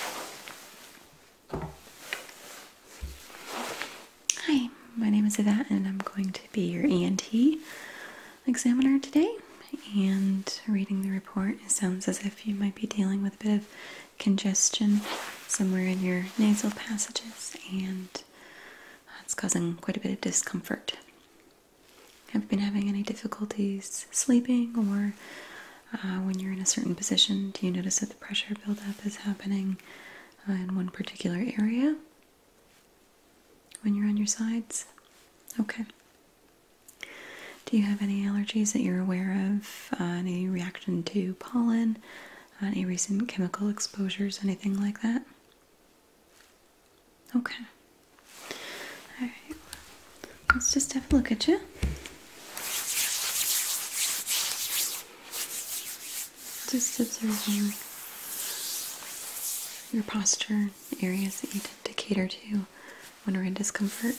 Hi, my name is Yvette and I'm going to be your ENT examiner today and reading the report. It sounds as if you might be dealing with a bit of congestion somewhere in your nasal passages and that's causing quite a bit of discomfort. Have you been having any difficulties sleeping or uh, when you're in a certain position? Do you notice that the pressure buildup is happening uh, in one particular area when you're on your sides? Okay. Do you have any allergies that you're aware of? Uh, any reaction to pollen? any recent chemical exposures? Anything like that? Okay. Let's just have a look at you. Just observe your posture, areas that you tend to cater to when we're in discomfort.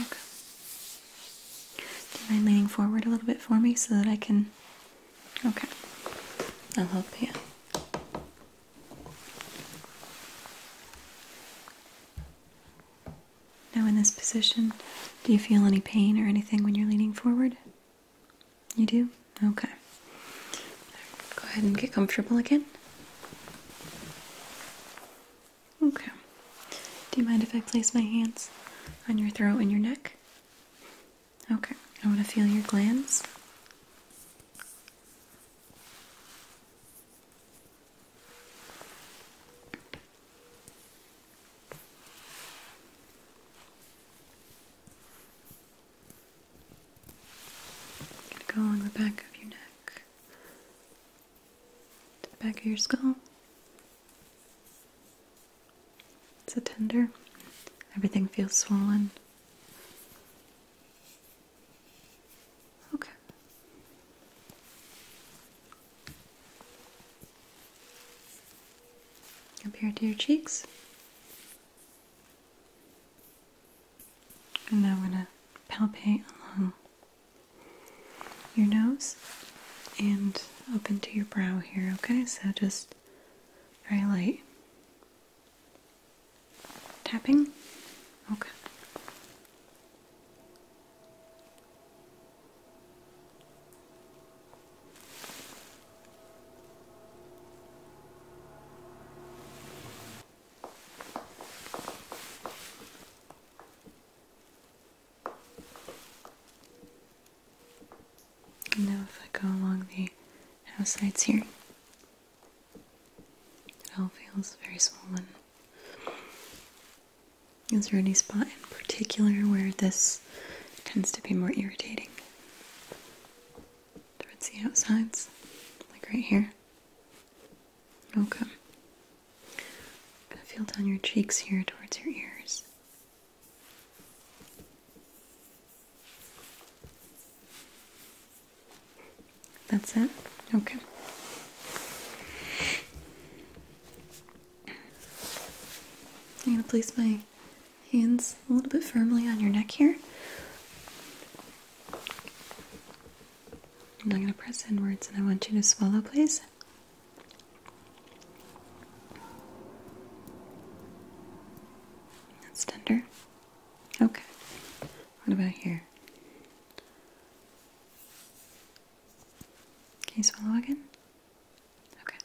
Okay. Do you mind leaning forward a little bit for me so that I can? Okay. I'll help you. Now, in this position, do you feel any pain or anything when you're leaning forward? You do? Okay. Go ahead and get comfortable again. Okay. Do you mind if I place my hands on your throat and your neck? Okay. I want to feel your glands. Go along the back of your neck, to the back of your skull. It's a tender. Everything feels swollen. Okay. Up here to your cheeks. And now we're going to palpate along your nose and up into your brow here, okay? So just very light tapping. Okay now if I go along the house sides here, it all feels very swollen. Is there any spot in particular where this tends to be more irritating? Towards the outsides? Like right here? Okay. feel down your cheeks here towards your ears. That's it? Okay. I'm going to place my hands a little bit firmly on your neck here. I'm going to press inwards and I want you to swallow, please. That's tender. Okay. What about here? Can you swallow again? Okay.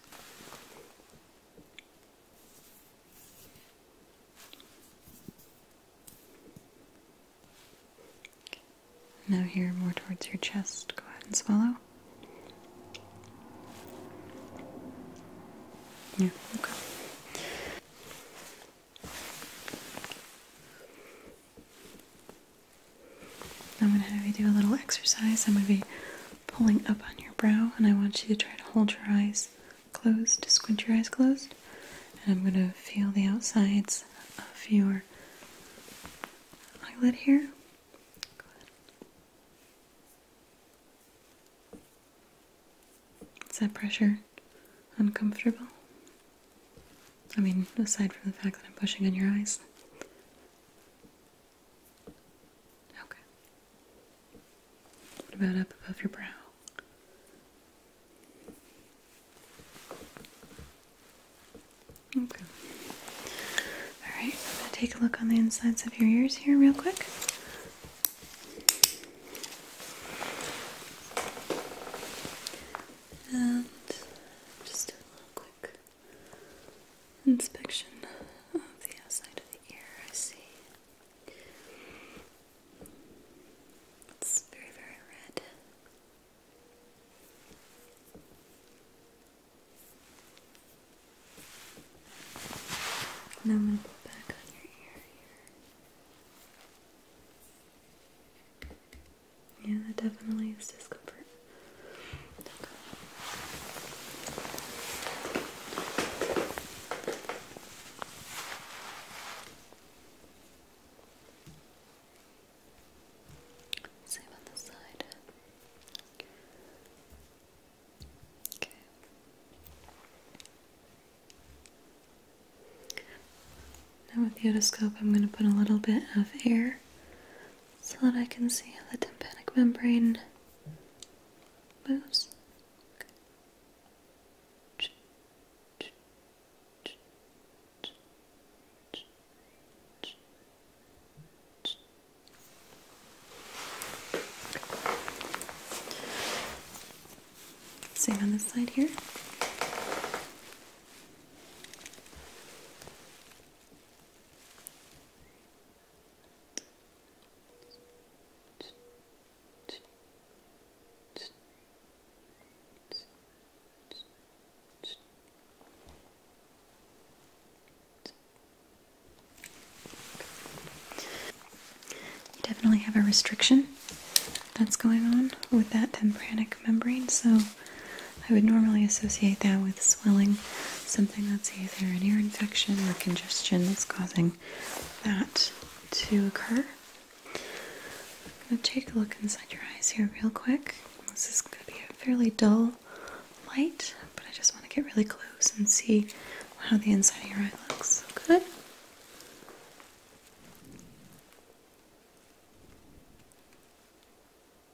okay. Now, here more towards your chest, go ahead and swallow. Yeah, okay. I'm going to have you do a little exercise. I'm going to be pulling up on your brow, and I want you to try to hold your eyes closed, squint your eyes closed. And I'm going to feel the outsides of your eyelid here. here. Is that pressure uncomfortable? I mean, aside from the fact that I'm pushing on your eyes. Okay. What about up above your brow? Okay. Alright, I'm going to take a look on the insides of your ears here, real quick. And just a little quick inspection of the outside of the ear. I see. It's very, very red. Now I'm going to put back on your ear here. Yeah, that definitely is discomfort. Same on the side. Okay. Now with the otoscope, I'm going to put a little bit of air so that I can see how the tympanic membrane moves. Same on this side here. You definitely have a restriction that's going on with that tympanic membrane, so I would normally associate that with swelling, something that's either an ear infection or congestion that's causing that to occur. I'm going to take a look inside your eyes here, real quick. This is going to be a fairly dull light, but I just want to get really close and see how the inside of your eye looks. Good.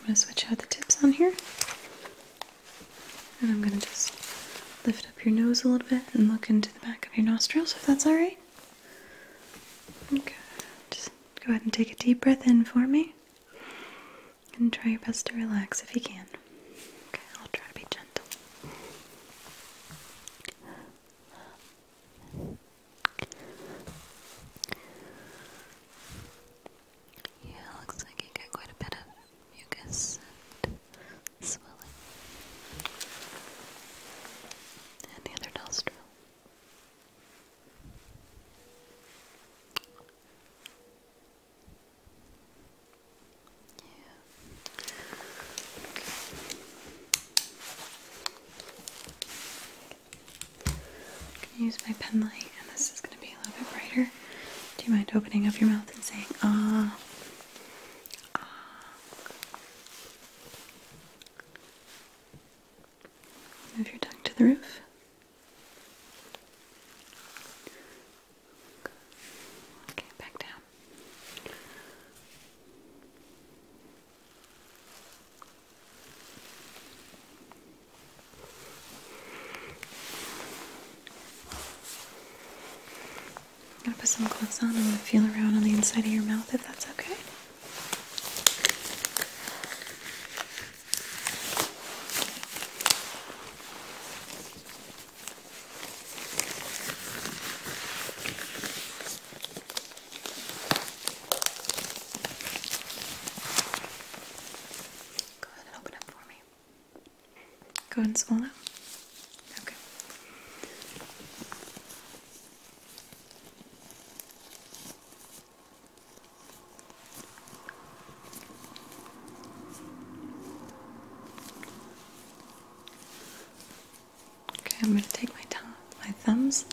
I'm going to switch out the tips on here. And I'm going to just lift up your nose a little bit and look into the back of your nostrils if that's alright. Okay, just go ahead and take a deep breath in for me. And try your best to relax if you can. Okay, I'll try to be gentle. Yeah, looks like you got quite a bit of mucus and swelling. And the other nostril. Yeah. Okay. I can use my pen light, and this is going to be a little bit brighter. Do you mind opening up your mouth and saying ah? Ah. Move your tongue to the roof. Okay, back down. I'm gonna put some gloves on. I'm gonna feel around on the inside of your mouth if that's okay. Go ahead and open up for me. Go ahead and swallow. Okay. Okay, I'm going to take my, thumbs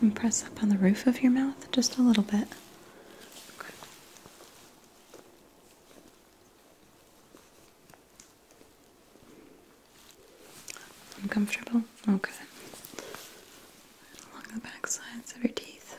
and press up on the roof of your mouth just a little bit. Uncomfortable? Okay. Along the back sides of your teeth.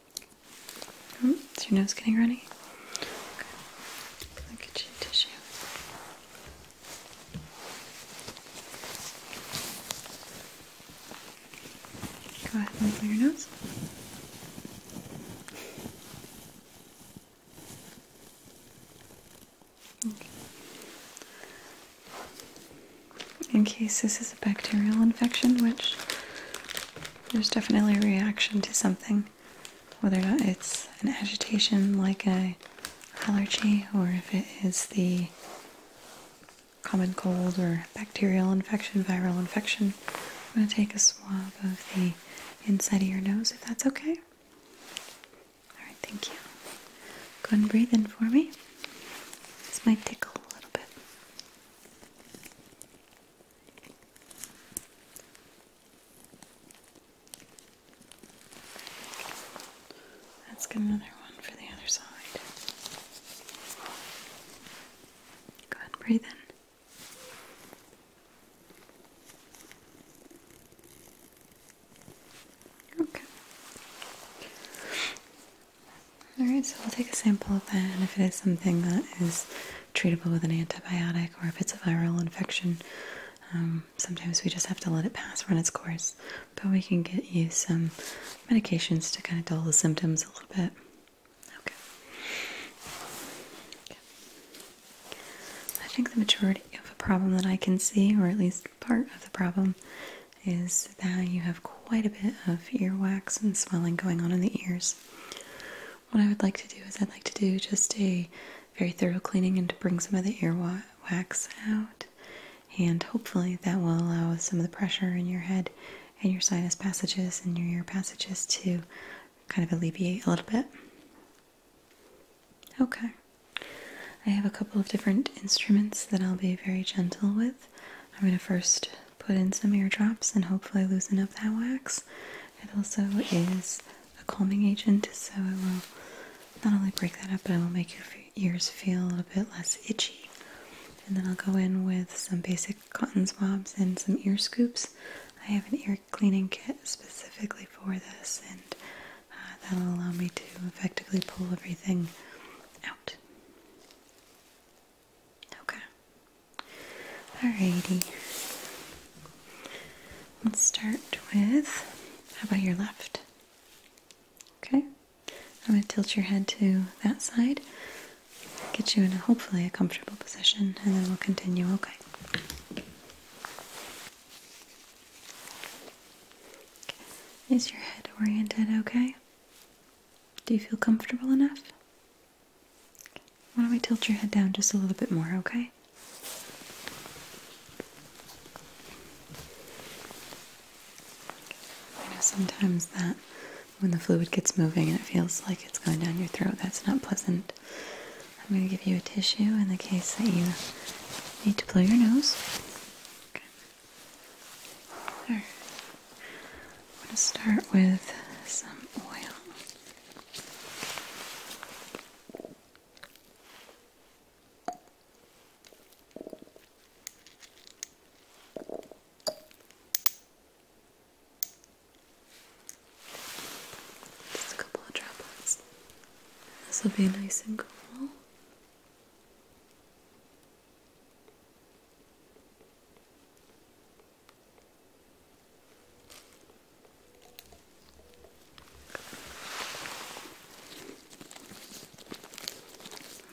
Oh, is your nose getting runny? Okay. I'll get you tissue. Go ahead and clear your nose. In case this is a bacterial infection, which there's definitely a reaction to something, whether or not it's an agitation like a allergy or if it is the common cold or bacterial infection, viral infection. I'm going to take a swab of the inside of your nose if that's okay. All right, thank you. Go ahead and breathe in for me. This might tickle a little bit. Let's get another one for the other side. Go ahead breathe in. Okay. Alright, so we'll take a sample of that, and if it is something that is treatable with an antibiotic or if it's a viral infection. Um, sometimes we just have to let it pass, run its course, but we can get you some medications to kind of dull the symptoms a little bit. okay. I think the majority of the problem that I can see, or at least part of the problem, is that you have quite a bit of earwax and swelling going on in the ears what I would like to do is I'd like to do just a very thorough cleaning and to bring some of the ear wax out. And hopefully that will allow some of the pressure in your head and your sinus passages and your ear passages to kind of alleviate a little bit. Okay. I have a couple of different instruments that I'll be very gentle with. I'm going to first put in some ear drops and hopefully loosen up that wax. It also is a calming agent, so it will not only break that up, but it will make your ears feel a little bit less itchy. And then I'll go in with some basic cotton swabs and some ear scoops. I have an ear cleaning kit specifically for this, and uh, that'll allow me to effectively pull everything out. Okay. All righty. Let's start with how about your left? Okay. I'm going to tilt your head to that side, get you in hopefully a comfortable position, and then we'll continue. okay. Is your head oriented okay? Do you feel comfortable enough? Why don't we tilt your head down just a little bit more, okay? I know sometimes that when the fluid gets moving and it feels like it's going down your throat, that's not pleasant. I'm going to give you a tissue in the case that you need to blow your nose. I'm going to start with some oil. Just a couple of droplets. This will be nice and cool.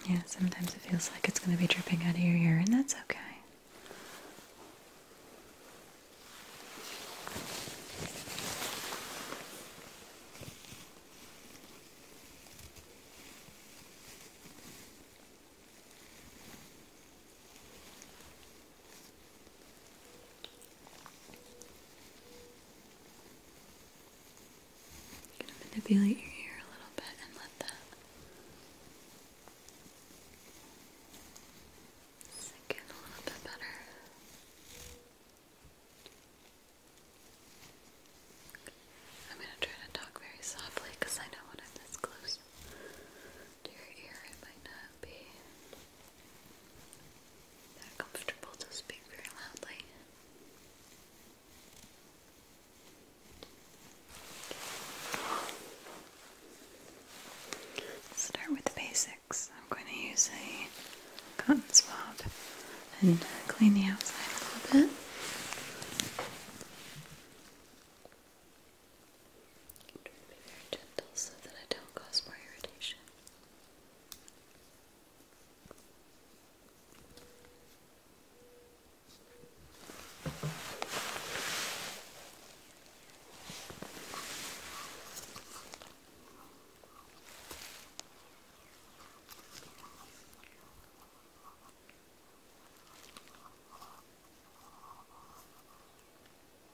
Yeah, sometimes it feels like it's going to be dripping out of your ear, and that's okay. I'm going to manipulate your hair a little bit and let that sink in a little bit better. I'm going to try to talk very softly because I know I'm this close to your ear, it might not be that comfortable to speak very loudly. Start with the basics. I'm going to use a cotton swab and clean the outside a little bit. I'm gentle so that I don't cause more irritation.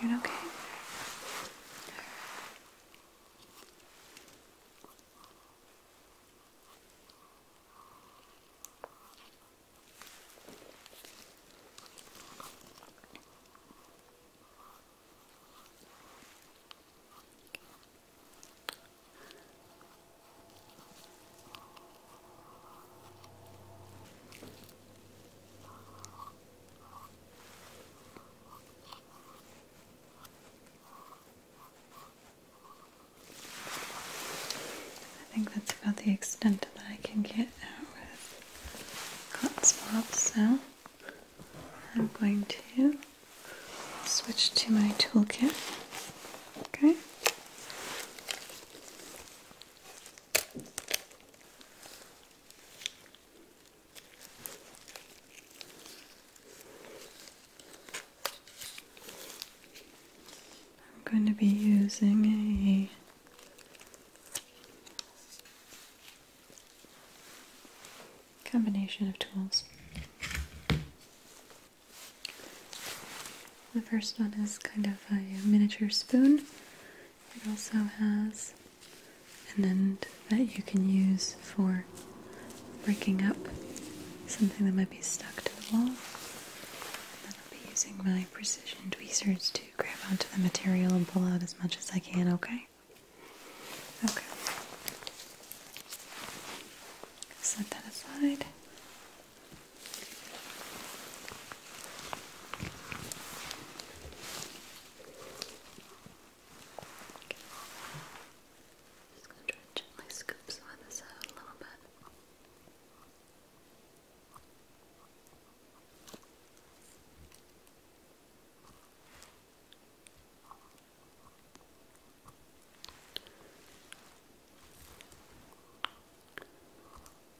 Doing okay? Okay. I think that's about the extent that I can get out with hotspots. swabs, so I'm going to switch to my toolkit. Okay. I'm going to be using a combination of tools. The first one is kind of a miniature spoon. It also has an end that you can use for breaking up something that might be stuck to the wall. And I'll be using my precision tweezers to grab onto the material and pull out as much as I can, okay? Okay. Set that aside. Just gonna try and gently scoop some of this out a little bit.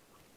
You doing okay?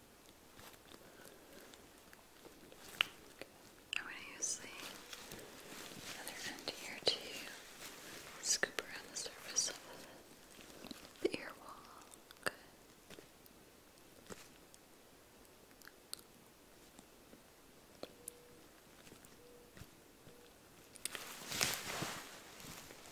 I'm going to use the other end here to scoop around the surface of the ear wall. Okay,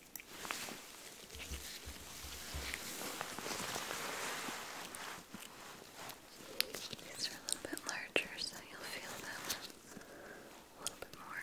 These are a little bit larger, so you'll feel them a little bit more.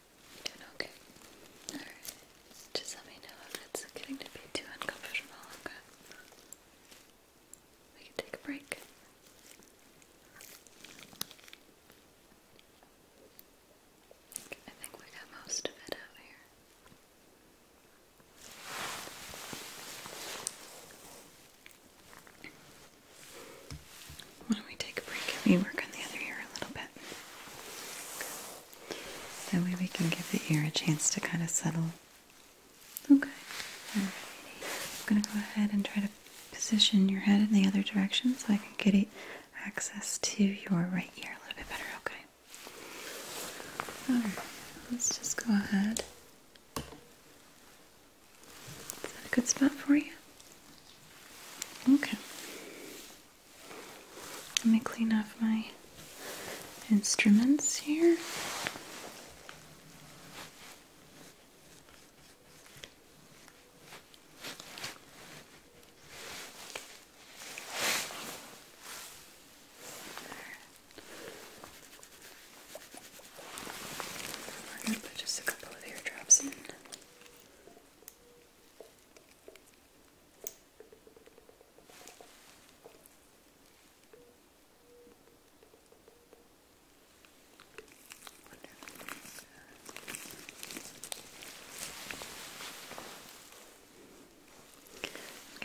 okay. Alright. Just let me know if it's getting to be too uncomfortable, We can take a break. I think we got most of it out here. Why don't we take a break we work on the other ear a little bit? That way we can give the ear a chance to kind of settle. Okay. I'm gonna go ahead and try to position your head in the other direction so I can get access to your right ear a little bit better, okay? let's just go ahead. Is that a good spot for you? Okay. Let me clean off my instruments here. We're going to put just a couple of eardrops in.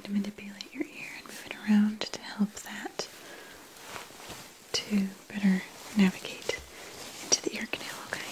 I'm going to manipulate your ear and move it around to help that to better navigate into the ear canal, okay?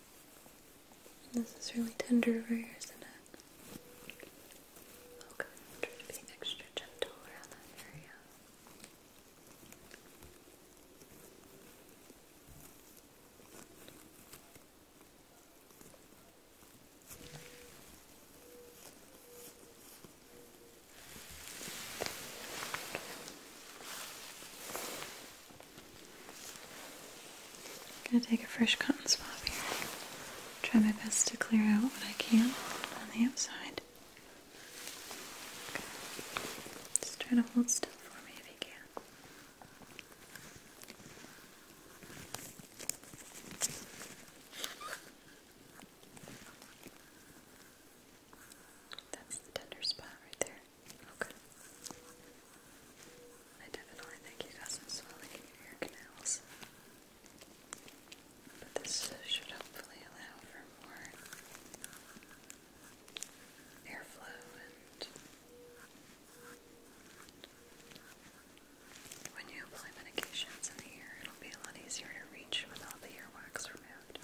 this is really tender over here, isn't it? I'll try to be extra gentle around that area. I'm gonna take a fresh cotton swab here. Try my best to clear out what I can on the outside. Just try to hold still for me if you can. That's the tender spot right there. Okay. I definitely think you got some swelling in your ear canals. But this should hopefully allow for more airflow and when you apply medications in the ear, it'll be a lot easier to reach with the earwax removed.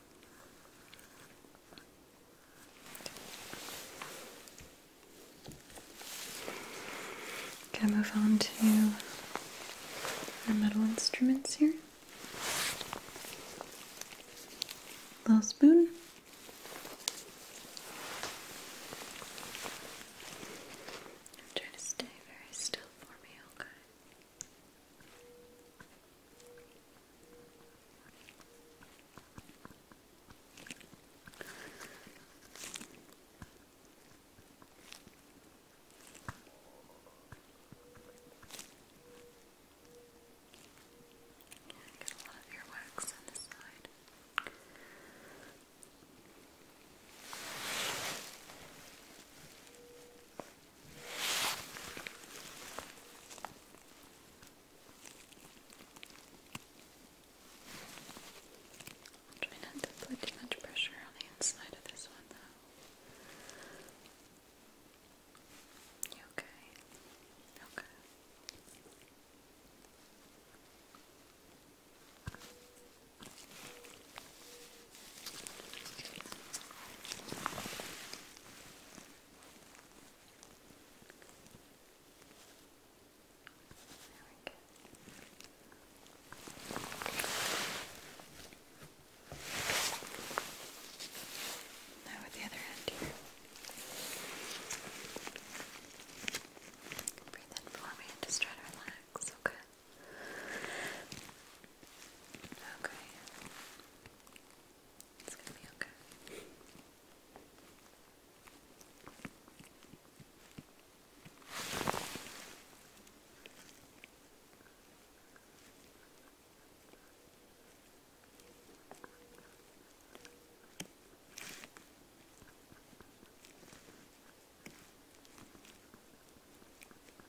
Can Okay, move on to our metal instruments here. Little spoon. Try to stay very still for me, okay? Get a lot of earwax on this side. Okay. I'll try not to put too much pressure on the inside of this one, though. You Okay. Okay. Now with the other hand here. Breathe in for me and just try to relax, okay? Okay. It's gonna be okay.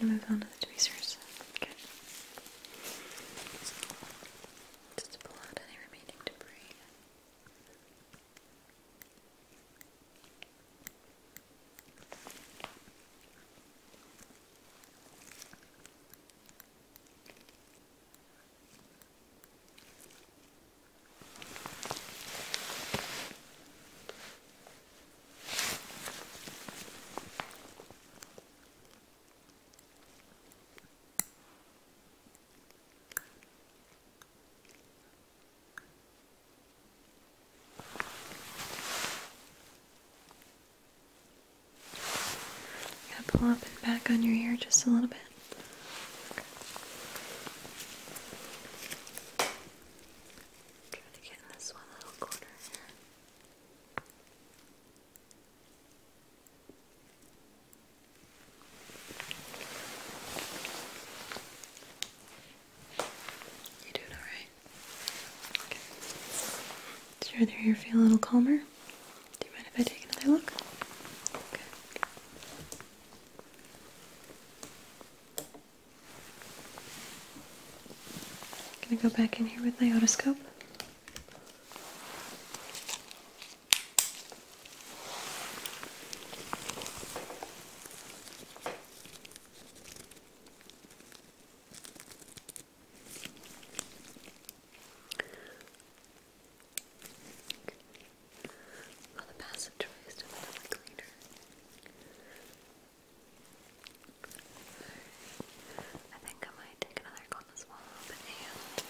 Gonna move on to the tweezers. Okay. Just to pull out any remaining debris. I'm to pull up and back on your ear just a little bit. Okay. Try to get in this one little corner here. You doing all right? Okay. Does your other ear feel a little calmer? Do you mind if I take another look? i gonna go back in here with my otoscope. While the passageways to the cleaner. I think I might take another glass as well and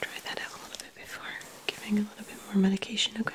try that out a little bit before giving a little bit more medication, Okay.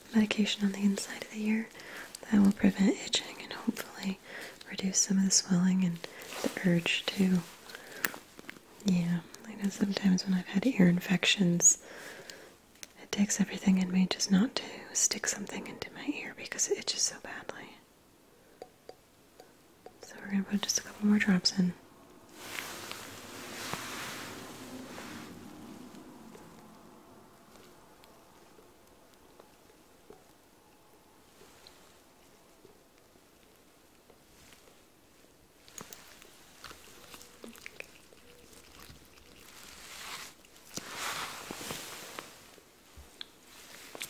medication on the inside of the ear that will prevent itching and hopefully reduce some of the swelling and the urge to. Yeah, I know sometimes when I've had ear infections, it takes everything in me just not to stick something into my ear because it itches so badly. So we're going to put just a couple more drops in i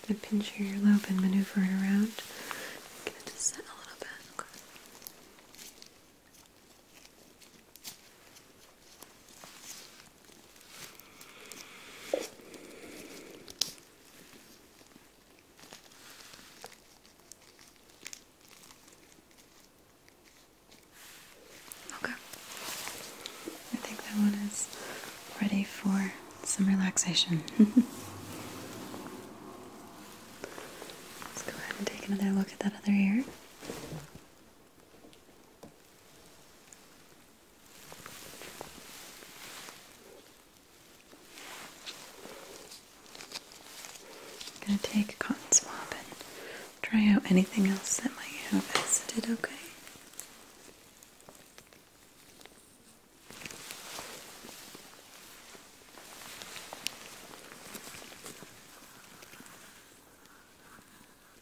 The pinch your earlobe and maneuver it around. Get it to set a little bit. Okay. Okay. I think that one is ready for some relaxation. Let's go ahead and take another look at that other ear. I'm going to take a cotton swab and try out anything else that might have visited. okay?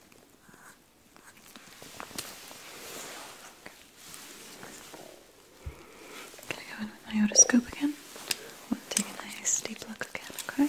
I'm gonna go in with my otoscope again. take a nice deep look again, Okay,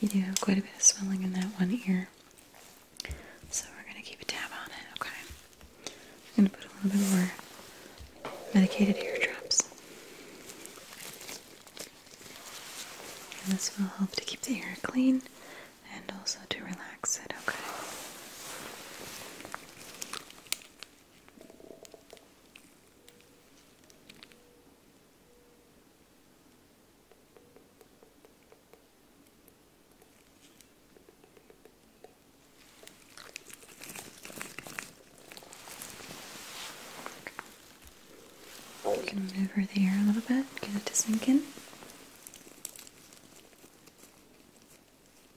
You do have quite a bit of swelling in that one ear. So we're going to keep a tab on it, okay? I'm going to put a little bit more medicated ear drops. And this will help to keep the ear clean and also to relax it, okay? We can maneuver the air a little bit, get it to sink in.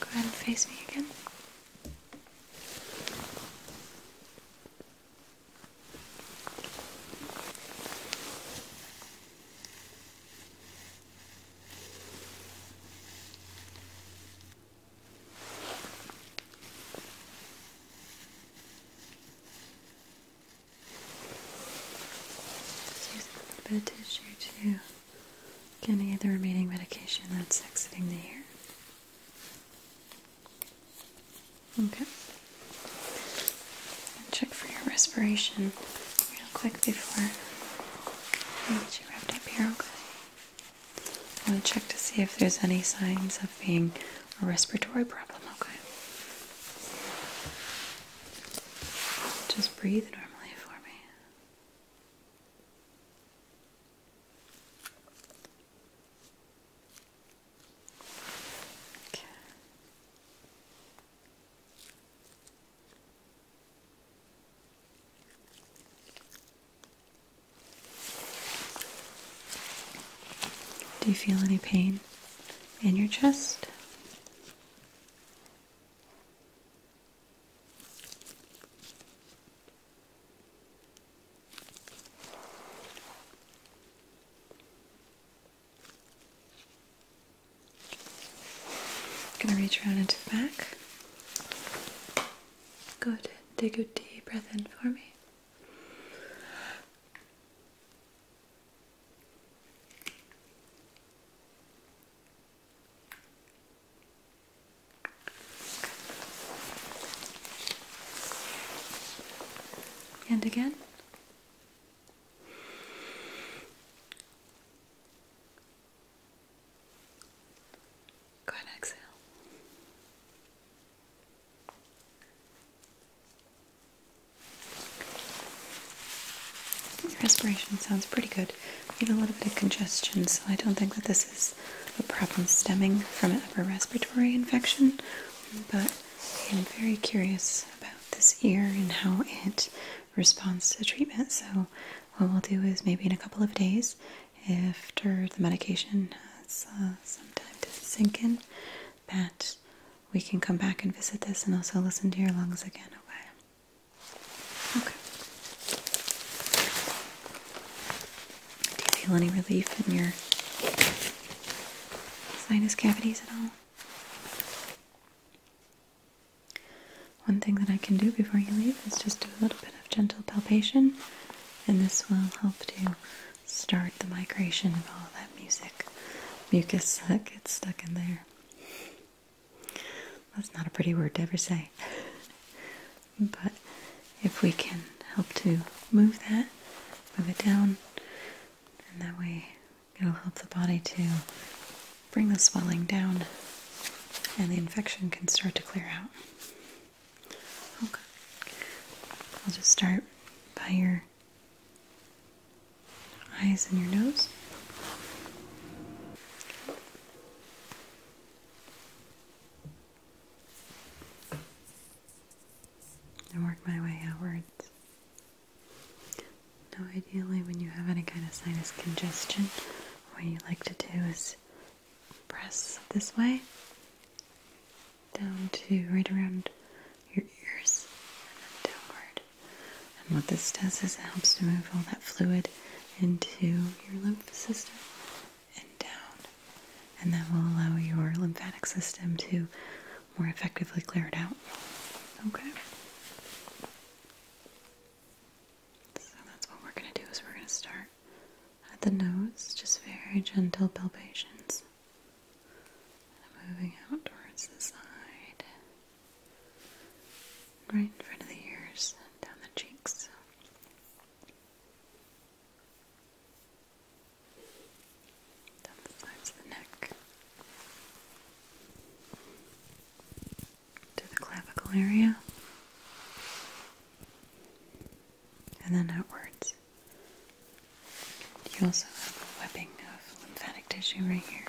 Go ahead and face me again. Just use a little bit tissue to Get Getting the remaining medication that's exiting the ear. Okay. check for your respiration real quick before you wrapped up here, okay? I want to check to see if there's any signs of being a respiratory problem, okay? Just breathe normally for me. Do you feel any pain in your chest? Gonna reach around into the back. Good. Take a deep breath in for me. And again. Go exhale. Your respiration sounds pretty good. We have a little bit of congestion, so I don't think that this is a problem stemming from an upper respiratory infection, but I am very curious about this ear and how it responds to treatment. So, what we'll do is maybe in a couple of days, after the medication has uh, some time to sink in, that we can come back and visit this and also listen to your lungs again, okay? Okay. Do you feel any relief in your sinus cavities at all? One thing that I can do before you leave is just do a little bit of gentle palpation, and this will help to start the migration of all that music, mucus that gets stuck in there. That's not a pretty word to ever say. but if we can help to move that, move it down, and that way it'll help the body to bring the swelling down and the infection can start to clear out. Okay. I'll just start by your eyes and your nose and work my way outwards. Now, ideally, when you have any kind of sinus congestion, what you like to do is press this way down to right around your ears and then downward. And what this does is it helps to move all that fluid into your lymph system and down. And that will allow your lymphatic system to more effectively clear it out. Okay? So that's what we're going to do is we're going to start at the nose, just very gentle palpations. And moving out towards the side. Right in front of the ears and down the cheeks. Down the sides of the neck. To the clavicle area. And then outwards. You also have a webbing of lymphatic tissue right here.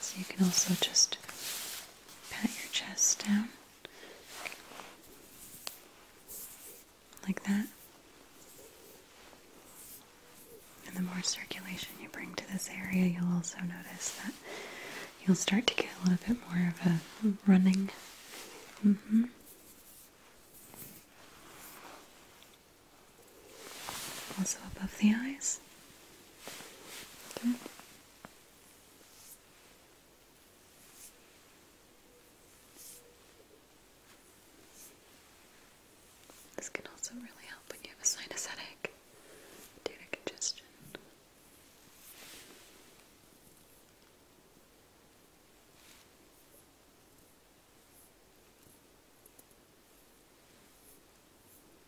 So you can also just pat your chest down like that. And the more circulation you bring to this area, you'll also notice that you'll start to get a little bit more of a running. Mm-hmm. Also above the eyes. Good. This can also really help when you have a sinus headache due to congestion.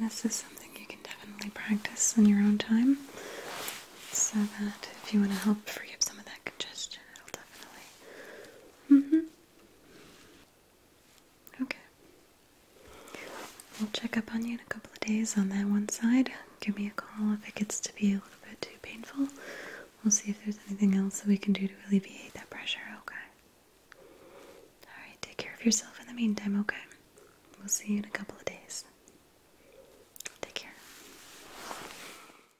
And this is something you can definitely practice in your own time so that if you want to help free up some of that congestion, it'll definitely. Mm-hmm. Okay. We'll check up on you in a couple of days on that one side. Give me a call if it gets to be a little bit too painful. We'll see if there's anything else that we can do to alleviate that pressure, okay? Alright, take care of yourself in the meantime, okay? We'll see you in a couple of days. Take care.